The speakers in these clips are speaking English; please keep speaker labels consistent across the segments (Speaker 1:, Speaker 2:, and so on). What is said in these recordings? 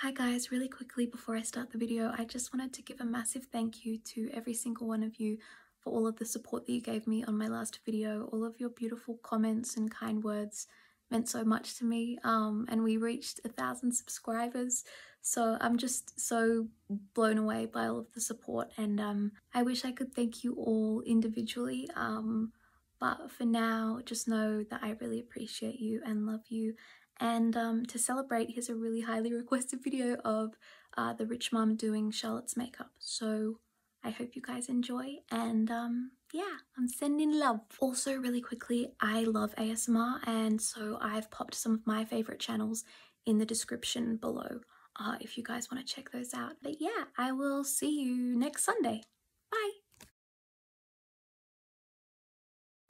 Speaker 1: Hi guys, really quickly before I start the video, I just wanted to give a massive thank you to every single one of you for all of the support that you gave me on my last video. All of your beautiful comments and kind words meant so much to me um, and we reached a thousand subscribers so I'm just so blown away by all of the support and um, I wish I could thank you all individually um, but for now just know that I really appreciate you and love you and um, to celebrate, here's a really highly requested video of uh, the rich mom doing Charlotte's makeup. So I hope you guys enjoy and um, yeah, I'm sending love. Also really quickly, I love ASMR and so I've popped some of my favorite channels in the description below uh, if you guys want to check those out. But yeah, I will see you next Sunday. Bye!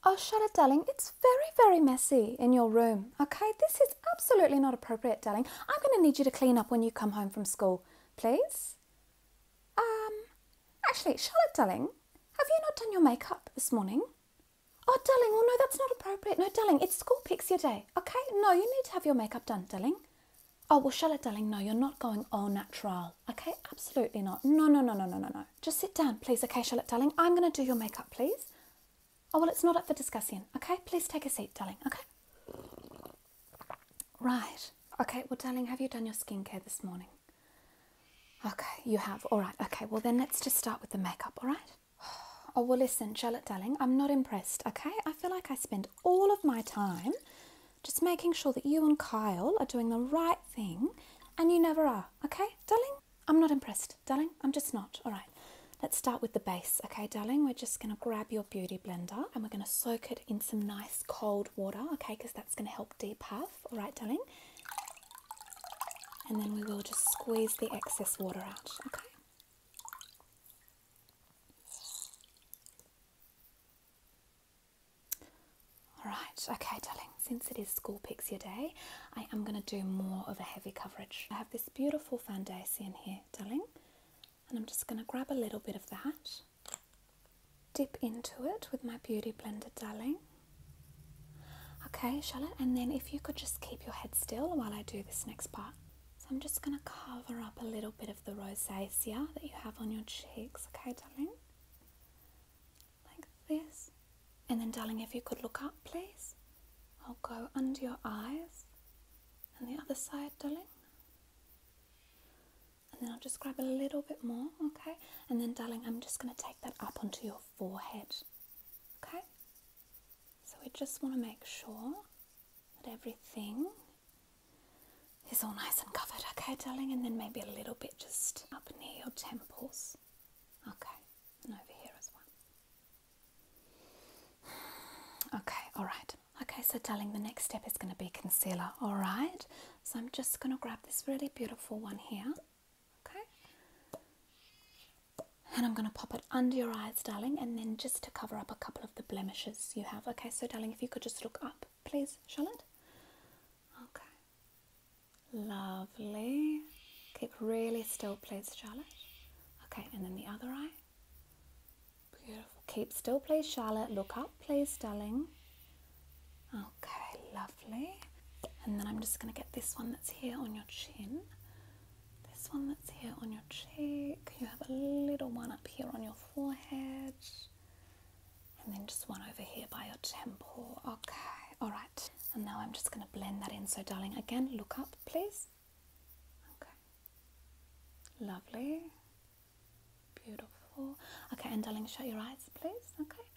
Speaker 1: Oh, Charlotte, darling, it's very, very messy in your room, okay? This is absolutely not appropriate, darling. I'm going to need you to clean up when you come home from school, please. Um, actually, Charlotte, darling, have you not done your makeup this morning? Oh, darling, well, no, that's not appropriate. No, darling, it's school picks your day, okay? No, you need to have your makeup done, darling. Oh, well, Charlotte, darling, no, you're not going all natural. Okay, absolutely not. No, no, no, no, no, no, no. Just sit down, please. Okay, Charlotte, darling. I'm going to do your makeup, please. Oh, well, it's not up for discussion. Okay, please take a seat, darling. Okay. Right. Okay, well, darling, have you done your skincare this morning? Okay, you have. All right. Okay, well, then let's just start with the makeup, all right? Oh, well, listen, Charlotte, darling, I'm not impressed, okay? I feel like I spend all of my time just making sure that you and Kyle are doing the right thing and you never are, okay, darling? I'm not impressed, darling. I'm just not. All right, let's start with the base, okay, darling? We're just going to grab your beauty blender and we're going to soak it in some nice cold water, okay, because that's going to help depuff, all right, darling? And then we will just squeeze the excess water out, okay? Alright, okay, darling, since it is School Pixie Day, I am going to do more of a heavy coverage. I have this beautiful foundation here, darling, and I'm just going to grab a little bit of that, dip into it with my Beauty Blender, darling. Okay, Charlotte, and then if you could just keep your head still while I do this next part. So I'm just going to cover up a little bit of the rosacea that you have on your cheeks, okay, darling? like this, and then, darling, if you could look up, please, I'll go under your eyes and the other side, darling. And then I'll just grab a little bit more, okay? And then, darling, I'm just going to take that up onto your forehead, okay? So we just want to make sure that everything is all nice and covered, okay, darling? And then maybe a little bit just up near your temples, okay, and over here as well. Okay, all right. Okay, so darling, the next step is going to be concealer, all right? So I'm just going to grab this really beautiful one here, okay? And I'm going to pop it under your eyes, darling, and then just to cover up a couple of the blemishes you have, okay? So, darling, if you could just look up, please, Charlotte. Okay, Lovely. Keep really still, please, Charlotte. Okay, and then the other eye. Beautiful. Keep still, please, Charlotte. Look up, please, darling. Okay, lovely. And then I'm just going to get this one that's here on your chin. This one that's here on your cheek. You have a little one up here on your forehead and then just one over here by your temple. Okay, all right. And now I'm just going to blend that in. So, darling, again, look up, please. Okay, lovely, beautiful. Okay, and darling, shut your eyes, please. Okay,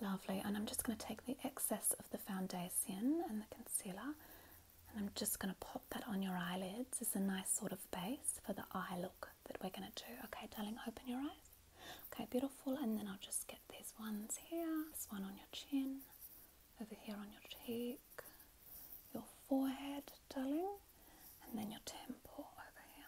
Speaker 1: lovely. And I'm just going to take the excess of the foundation and the concealer. And I'm just going to pop that on your eyelids as a nice sort of base for the eye look that we're going to do. Okay, darling, open your eyes. Okay, beautiful. And then I'll just get these ones here. This one on your chin, over here on your cheek, your forehead, darling, and then your temple over here.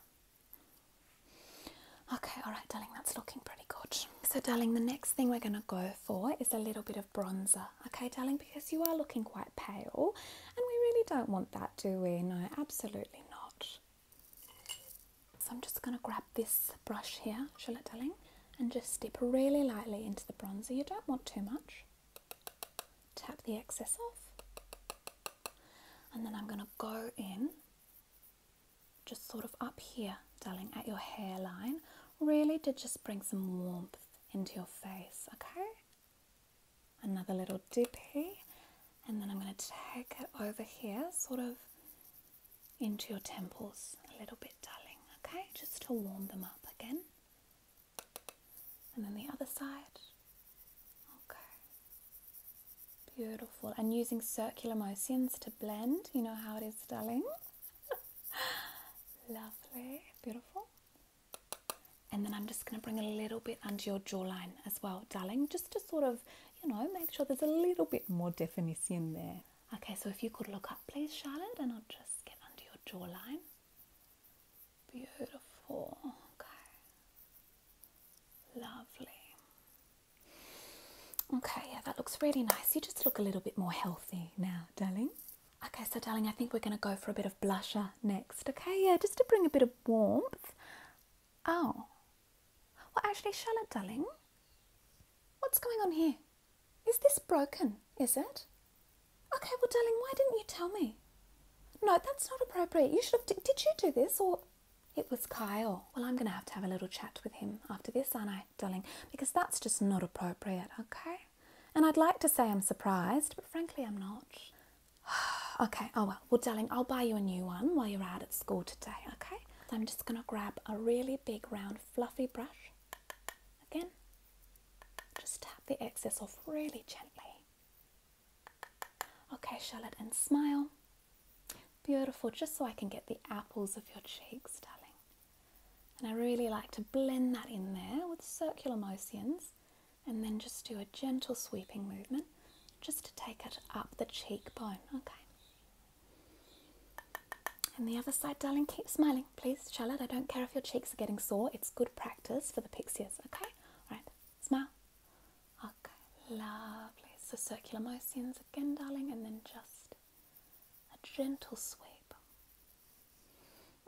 Speaker 1: Okay, all right, darling, that's looking pretty good. So, darling, the next thing we're going to go for is a little bit of bronzer. Okay, darling, because you are looking quite pale, and we really don't want that, do we? No, absolutely not. So I'm just going to grab this brush here, Charlotte Darling, and just dip really lightly into the bronzer. You don't want too much. Tap the excess off. And then I'm going to go in just sort of up here, darling, at your hairline, really to just bring some warmth into your face, okay? another little dip here and then I'm going to take it over here sort of into your temples a little bit darling okay just to warm them up again and then the other side okay beautiful and using circular motions to blend you know how it is darling lovely beautiful and then I'm just going to bring a little bit under your jawline as well, darling, just to sort of, you know, make sure there's a little bit more definition there. Okay, so if you could look up, please, Charlotte, and I'll just get under your jawline. Beautiful. Okay. Lovely. Okay, yeah, that looks really nice. You just look a little bit more healthy now, darling. Okay, so darling, I think we're going to go for a bit of blusher next. Okay, yeah, just to bring a bit of warmth Oh. Well, actually, Charlotte, darling, what's going on here? Is this broken, is it? Okay, well, darling, why didn't you tell me? No, that's not appropriate. You should have. Did, did you do this or. It was Kyle. Well, I'm going to have to have a little chat with him after this, aren't I, darling? Because that's just not appropriate, okay? And I'd like to say I'm surprised, but frankly, I'm not. okay, oh well, well, darling, I'll buy you a new one while you're out at school today, okay? So I'm just going to grab a really big, round, fluffy brush. Again, just tap the excess off really gently. Okay, Charlotte, and smile. Beautiful, just so I can get the apples of your cheeks, darling. And I really like to blend that in there with circular motions and then just do a gentle sweeping movement just to take it up the cheekbone. Okay. And the other side, darling, keep smiling, please, Charlotte. I don't care if your cheeks are getting sore. It's good practice for the pixies. okay? All right, smile. Okay, lovely. So circular motions again, darling, and then just a gentle sweep.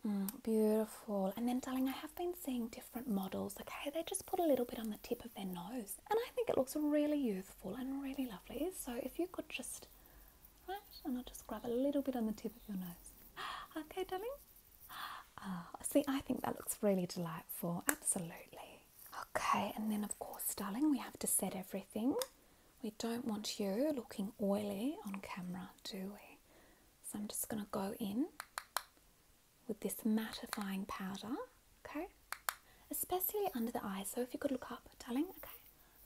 Speaker 1: Mm, beautiful. And then, darling, I have been seeing different models. Okay, they just put a little bit on the tip of their nose, and I think it looks really youthful and really lovely. So if you could just, and I'll just grab a little bit on the tip of your nose. Okay, darling. Ah, see, I think that looks really delightful. Absolutely. Okay, and then of course, darling, we have to set everything. We don't want you looking oily on camera, do we? So I'm just going to go in with this mattifying powder, okay? Especially under the eyes. So if you could look up, darling, okay?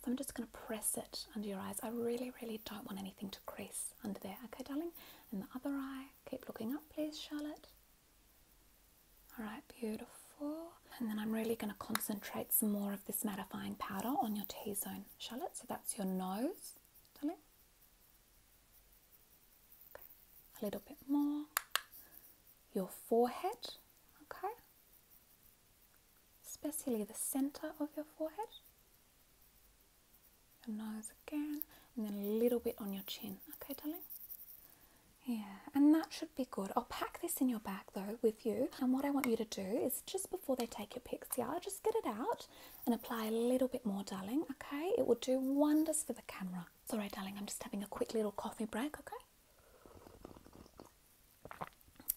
Speaker 1: So I'm just going to press it under your eyes. I really, really don't want anything to crease under there, okay, darling? And the other eye, keep looking up, please, Charlotte. All right, beautiful. And then I'm really going to concentrate some more of this mattifying powder on your T-zone, Charlotte. So that's your nose, darling. A little bit more. Your forehead, okay? Especially the center of your forehead. Your nose again, and then a little bit on your chin, okay, darling? Yeah, and that should be good. I'll pack this in your bag though with you. And what I want you to do is just before they take your pics, yeah, just get it out and apply a little bit more, darling. Okay, it will do wonders for the camera. Sorry, darling. I'm just having a quick little coffee break. Okay,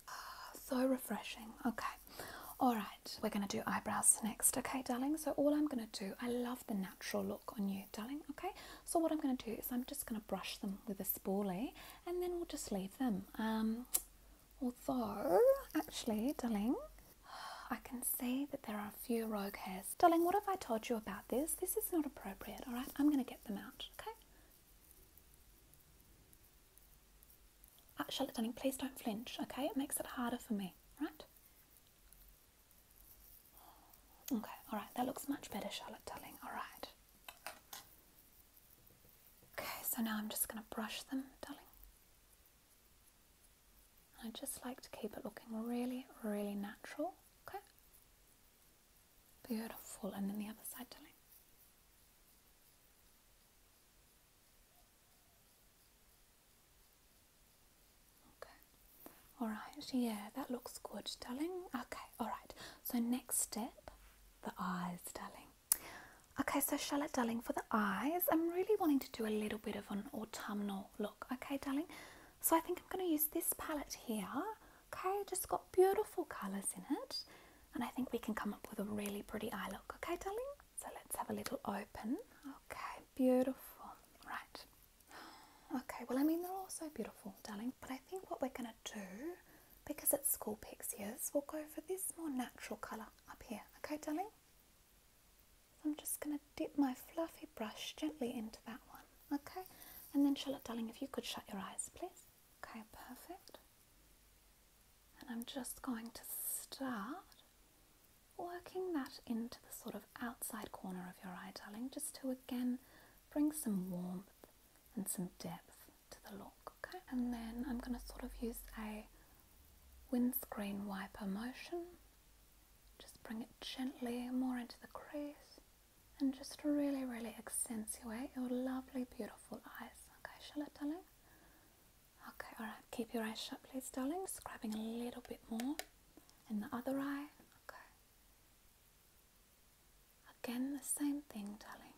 Speaker 1: ah, so refreshing. Okay, all right. We're gonna do eyebrows next. Okay, darling. So all I'm gonna do, I love the natural look on you, darling. Okay, so what I'm gonna do is I'm just gonna brush them with a spoolie, and then we'll just leave them. Um, although actually, darling. I can see that there are a few rogue hairs. Darling, what have I told you about this? This is not appropriate, alright? I'm going to get them out, okay? Uh, Charlotte, darling, please don't flinch, okay? It makes it harder for me, right? Okay, alright, that looks much better, Charlotte, darling, alright. Okay, so now I'm just going to brush them, darling. I just like to keep it looking really, really natural. Okay? Beautiful. And then the other side, darling. Alright, yeah, that looks good, darling. Okay, alright. So next step, the eyes, darling. Okay, so Charlotte, darling, for the eyes, I'm really wanting to do a little bit of an autumnal look. Okay, darling? So I think I'm going to use this palette here. Okay, just got beautiful colours in it. And I think we can come up with a really pretty eye look. Okay, darling? So let's have a little open. Okay, beautiful. Right. Okay, well, I mean, they're all so beautiful, darling. But I think what we're going to do, because it's school pixies, we'll go for this more natural colour up here. Okay, darling? I'm just going to dip my fluffy brush gently into that one, okay? And then Charlotte, darling, if you could shut your eyes, please. Okay, perfect. And I'm just going to start working that into the sort of outside corner of your eye, darling, just to again bring some warmth and some depth to the look, okay? And then I'm going to sort of use a windscreen wiper motion. Just bring it gently more into the crease and just really, really accentuate your lovely, beautiful eyes. Okay, Charlotte, darling? Okay, alright, keep your eyes shut, please, darling. Just a little bit more in the other eye. Okay. Again, the same thing, darling.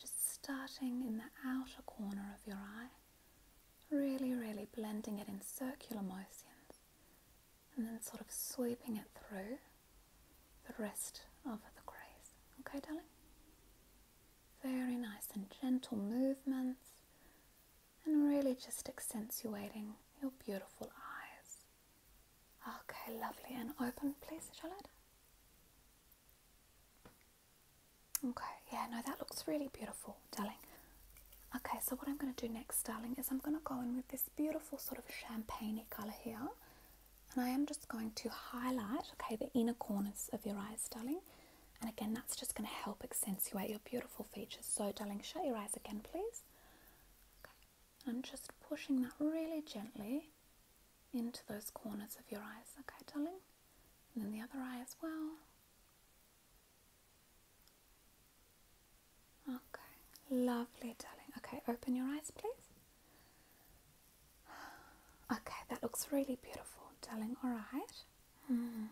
Speaker 1: Just starting in the outer corner of your eye really, really blending it in circular motions and then sort of sweeping it through the rest of the crease. Okay, darling? Very nice and gentle movements and really just accentuating your beautiful eyes. Okay, lovely and open, please, Charlotte. Okay, yeah, no, that looks really beautiful, darling. Okay, so what I'm going to do next, darling, is I'm going to go in with this beautiful sort of champagney colour here. And I am just going to highlight, okay, the inner corners of your eyes, darling. And again, that's just going to help accentuate your beautiful features. So, darling, shut your eyes again, please. Okay, I'm just pushing that really gently into those corners of your eyes, okay, darling? and then the other eye as well. Okay, lovely, darling. Okay, open your eyes, please. Okay, that looks really beautiful, darling. All right. Hmm.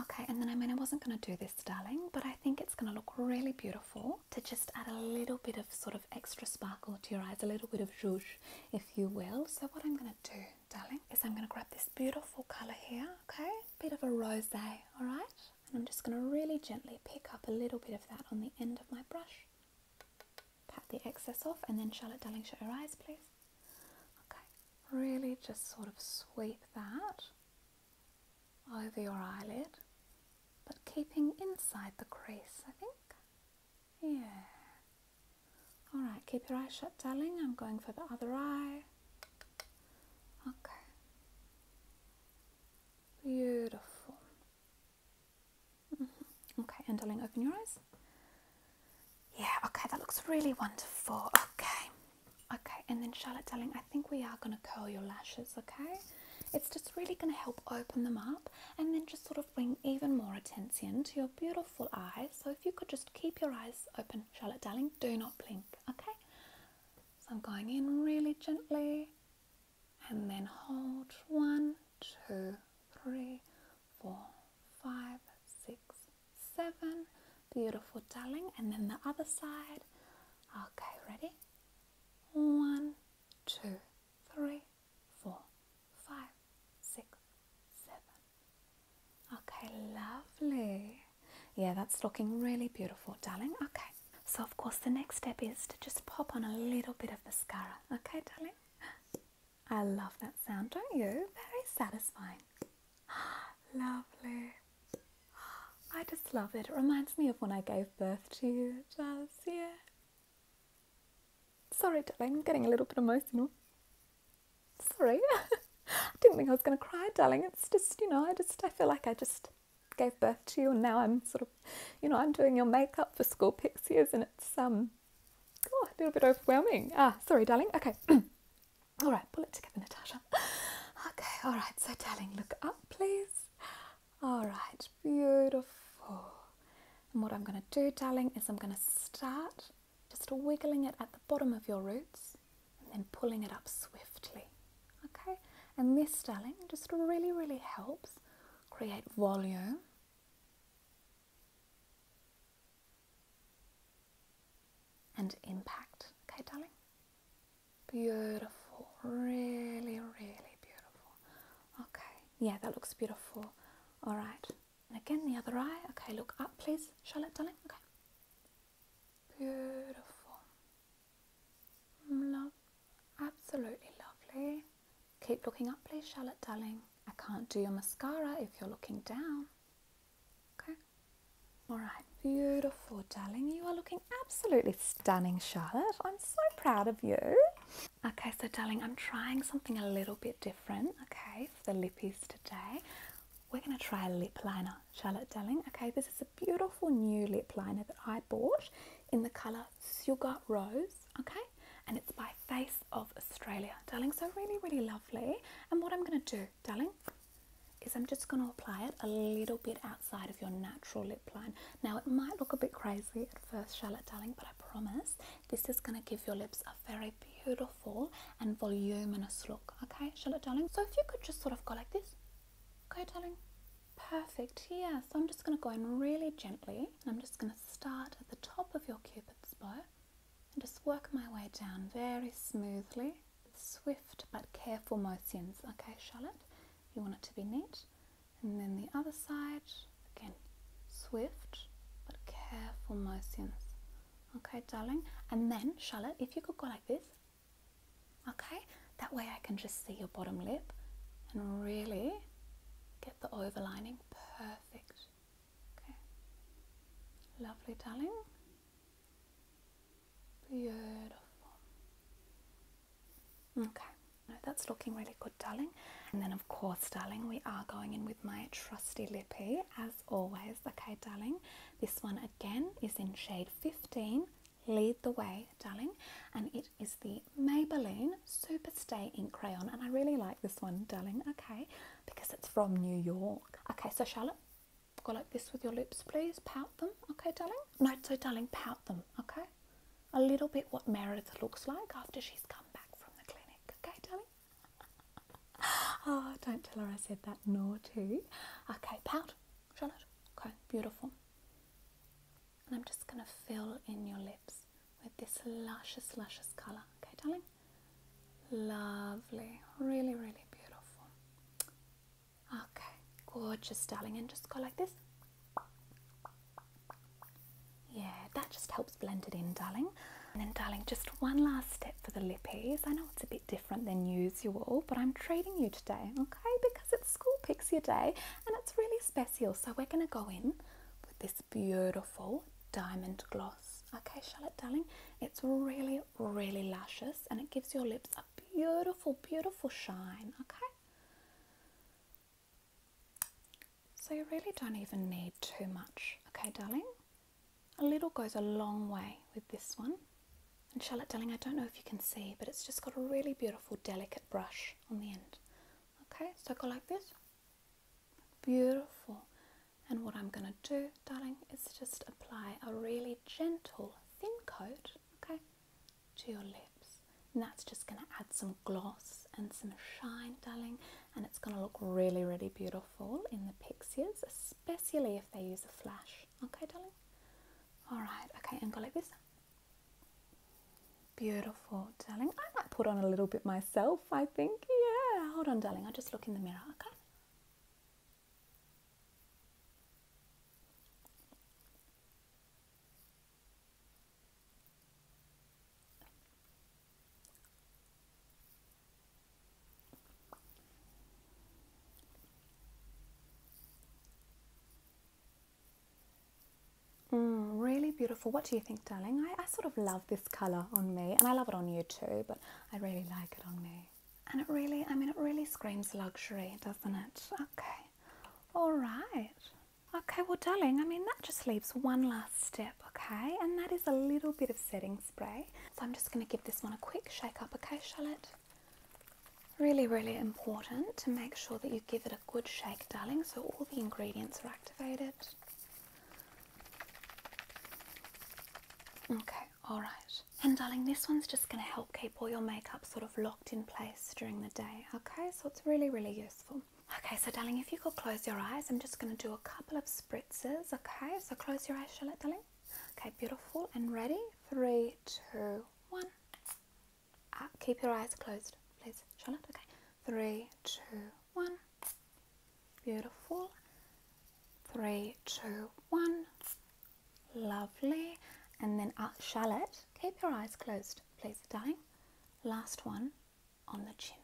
Speaker 1: Okay, and then I mean, I wasn't going to do this, darling, but I think it's going to look really beautiful to just add a little bit of sort of extra sparkle to your eyes, a little bit of zhuzh, if you will. So, what I'm going to do darling, is I'm going to grab this beautiful colour here, okay? Bit of a rose, all right? And I'm just going to really gently pick up a little bit of that on the end of my brush. Pat the excess off, and then Charlotte, darling, shut your eyes, please. Okay, really just sort of sweep that over your eyelid, but keeping inside the crease, I think. Yeah. Alright, keep your eyes shut, darling. I'm going for the other eye. Okay. Beautiful. Mm-hmm. Okay, and darling, open your eyes. Yeah, okay, that looks really wonderful. Okay. Okay, and then Charlotte, darling, I think we are going to curl your lashes, okay? It's just really going to help open them up and then just sort of bring even more attention to your beautiful eyes. So if you could just keep your eyes open, Charlotte darling, do not blink, okay? So I'm going in really gently and then hold one, two, three, four, five, six, seven. Beautiful, darling. And then the other side. Okay, ready? One, two, three, four, five, six, seven. Okay, lovely. Yeah, that's looking really beautiful, darling. Okay, so of course, the next step is to just pop on a little bit of mascara. Okay, darling. I love that sound, don't you? Very satisfying. Lovely. I just love it. It reminds me of when I gave birth to you, Jazz. Sorry, darling, I'm getting a little bit emotional. Sorry. I didn't think I was going to cry, darling. It's just, you know, I just, I feel like I just gave birth to you and now I'm sort of, you know, I'm doing your makeup for school pixies and it's, um, oh, a little bit overwhelming. Ah, sorry, darling. Okay. all right, pull it together, Natasha. Okay, all right. So, darling, look up, please. All right, beautiful. And what I'm going to do, darling, is I'm going to start just wiggling it at the bottom of your roots and then pulling it up swiftly. Okay? And this darling just really, really helps create volume. And impact. Okay, darling? Beautiful. Really, really beautiful. Okay. Yeah, that looks beautiful. All right. And again, the other eye. Okay, look up, please, Charlotte, darling. Okay. Beautiful. Love. Absolutely lovely. Keep looking up, please, Charlotte, darling. I can't do your mascara if you're looking down. Okay. All right. Beautiful, darling. You are looking absolutely stunning, Charlotte. I'm so proud of you. Okay, so darling, I'm trying something a little bit different, okay, for the lippies today. We're going to try a lip liner, Charlotte darling. Okay, this is a beautiful new lip liner that I bought in the colour Sugar Rose, okay, and it's by Face of Australia, darling. So really, really lovely. And what I'm going to do, darling, is I'm just going to apply it a little bit outside of your natural lip line. Now, it might look a bit crazy at first, Charlotte darling, but I promise this is going to give your lips a very beautiful and voluminous look. Okay, Charlotte, darling? So if you could just sort of go like this. Okay, darling? Perfect. Yeah, so I'm just going to go in really gently. And I'm just going to start at the top of your cupid's bow and just work my way down very smoothly. Swift but careful motions. Okay, Charlotte? You want it to be neat. And then the other side. Again, swift but careful motions. Okay, darling. And then, Charlotte, if you could go like this. Okay, that way I can just see your bottom lip and really get the overlining perfect. Okay, lovely, darling. Beautiful. Okay, no, that's looking really good, darling. And then, of course, darling, we are going in with my trusty lippy as always. Okay, darling, this one again is in shade 15. Lead the way, darling, and it is the Maybelline Super Stay Ink crayon, and I really like this one, darling. Okay, because it's from New York. Okay, so Charlotte, go like this with your lips, please. Pout them, okay, darling. No, so darling, pout them, okay. A little bit what Meredith looks like after she's come back from the clinic. Okay, darling. Oh, don't tell her I said that Nor naughty. Okay, pout, Charlotte. Okay, beautiful. And I'm just gonna fill in your lips with this luscious, luscious colour. Okay, darling. Lovely, really, really beautiful. Okay, gorgeous, darling. And just go like this. Yeah, that just helps blend it in, darling. And then, darling, just one last step for the lippies. I know it's a bit different than usual, but I'm treating you today, okay? Because it's School Pixie Day and it's really special. So we're going to go in with this beautiful diamond gloss. Okay, Charlotte, darling, it's really, really luscious and it gives your lips a beautiful, beautiful shine, okay? So you really don't even need too much, okay, darling? A little goes a long way with this one. And Charlotte, darling, I don't know if you can see, but it's just got a really beautiful, delicate brush on the end. Okay, so go like this. Beautiful. And what I'm going to do, darling, is just apply a really gentle, thin coat, okay, to your lips. And that's just going to add some gloss and some shine, darling, and it's going to look really, really beautiful in the Pixies, especially if they use a flash. Okay, darling? All right, okay, and look like this. Beautiful, darling. I might put on a little bit myself, I think. Yeah, hold on, darling. I'll just look in the mirror, okay? Mm, really beautiful. What do you think, darling? I sort of love this colour on me, and I love it on you too, but I really like it on me. And it really, I mean, it really screams luxury, doesn't it? Okay. All right. Okay, well, darling, I mean, that just leaves one last step, okay? And that is a little bit of setting spray. So I'm just going to give this one a quick shake up, okay, Charlotte? Really, really important to make sure that you give it a good shake, darling, so all the ingredients are activated. Okay, all right. And darling, this one's just going to help keep all your makeup sort of locked in place during the day, okay? So it's really, really useful. Okay, so darling, if you could close your eyes, I'm just going to do a couple of spritzes. Okay, so close your eyes, Charlotte, darling. Okay, beautiful and ready. Three, two, one. Ah, keep your eyes closed, please, Charlotte. Okay, three, two, one. Beautiful. Three, two, one. Lovely. And then up, ah, Charlotte. Keep your eyes closed, please, darling. Last one on the chin.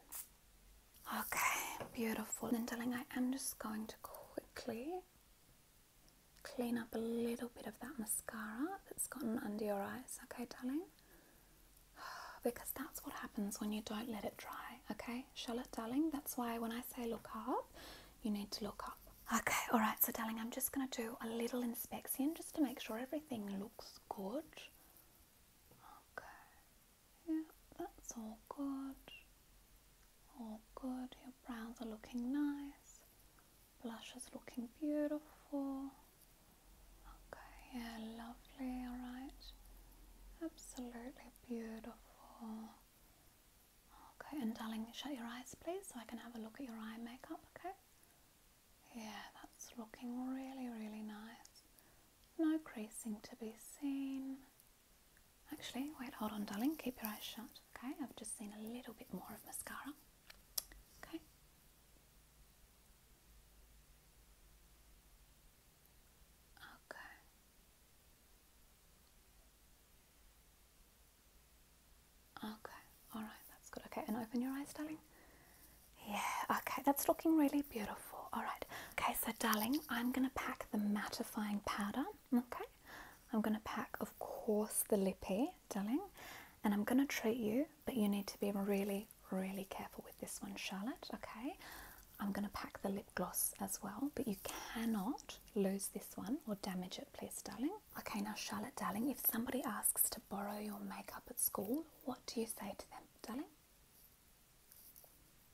Speaker 1: Okay, beautiful. And darling, I am just going to quickly clean up a little bit of that mascara that's gotten under your eyes, okay, darling? Because that's what happens when you don't let it dry, okay, Charlotte, darling? That's why when I say look up, you need to look up. Okay, all right, so darling, I'm just going to do a little inspection just to make sure everything looks good. Okay, yeah, that's all good. All good. Your brows are looking nice. Blush is looking beautiful. Okay, yeah, lovely. All right, absolutely beautiful. Okay, and darling, shut your eyes, please, so I can have a look at your eye makeup. Okay. Yeah, that's looking really, really nice. No creasing to be seen. Actually, wait, hold on, darling. Keep your eyes shut. Okay, I've just seen a little bit more of mascara. Okay. Okay. Okay. All right, that's good. Okay, and open your eyes, darling. Yeah, okay, that's looking really beautiful. All right, okay, so darling, I'm gonna pack the mattifying powder. Okay, I'm gonna pack, of course, the lippy, darling, and I'm gonna treat you, but you need to be really, really careful with this one, Charlotte. Okay, I'm gonna pack the lip gloss as well, but you cannot lose this one or damage it, please, darling. Okay, now, Charlotte, darling, if somebody asks to borrow your makeup at school what do you say to them, darling?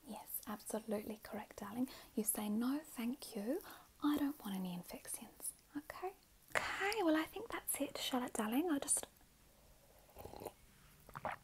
Speaker 1: Yes, absolutely correct, darling. You say, no, thank you. I don't want any infections. Okay? Okay, well, I think that's it, Charlotte, darling. I'll just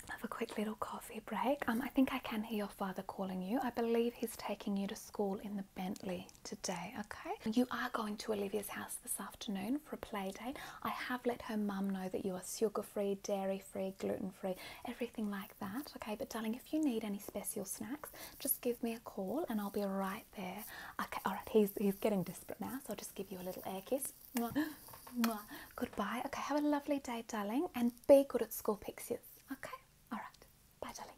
Speaker 1: have a quick little coffee break. Um, I think I can hear your father calling you. I believe he's taking you to school in the Bentley today, okay? You are going to Olivia's house this afternoon for a play date, I have let her mum know that you are sugar free, dairy free, gluten free, everything like that. Okay, but darling, if you need any special snacks, just give me a call and I'll be right there. Okay, all right, he's, he's getting desperate now, so I'll just give you a little air kiss. Mwah, mwah. Goodbye. Okay, have a lovely day, darling, and be good at school pixies. Okay, all right, bye, darling.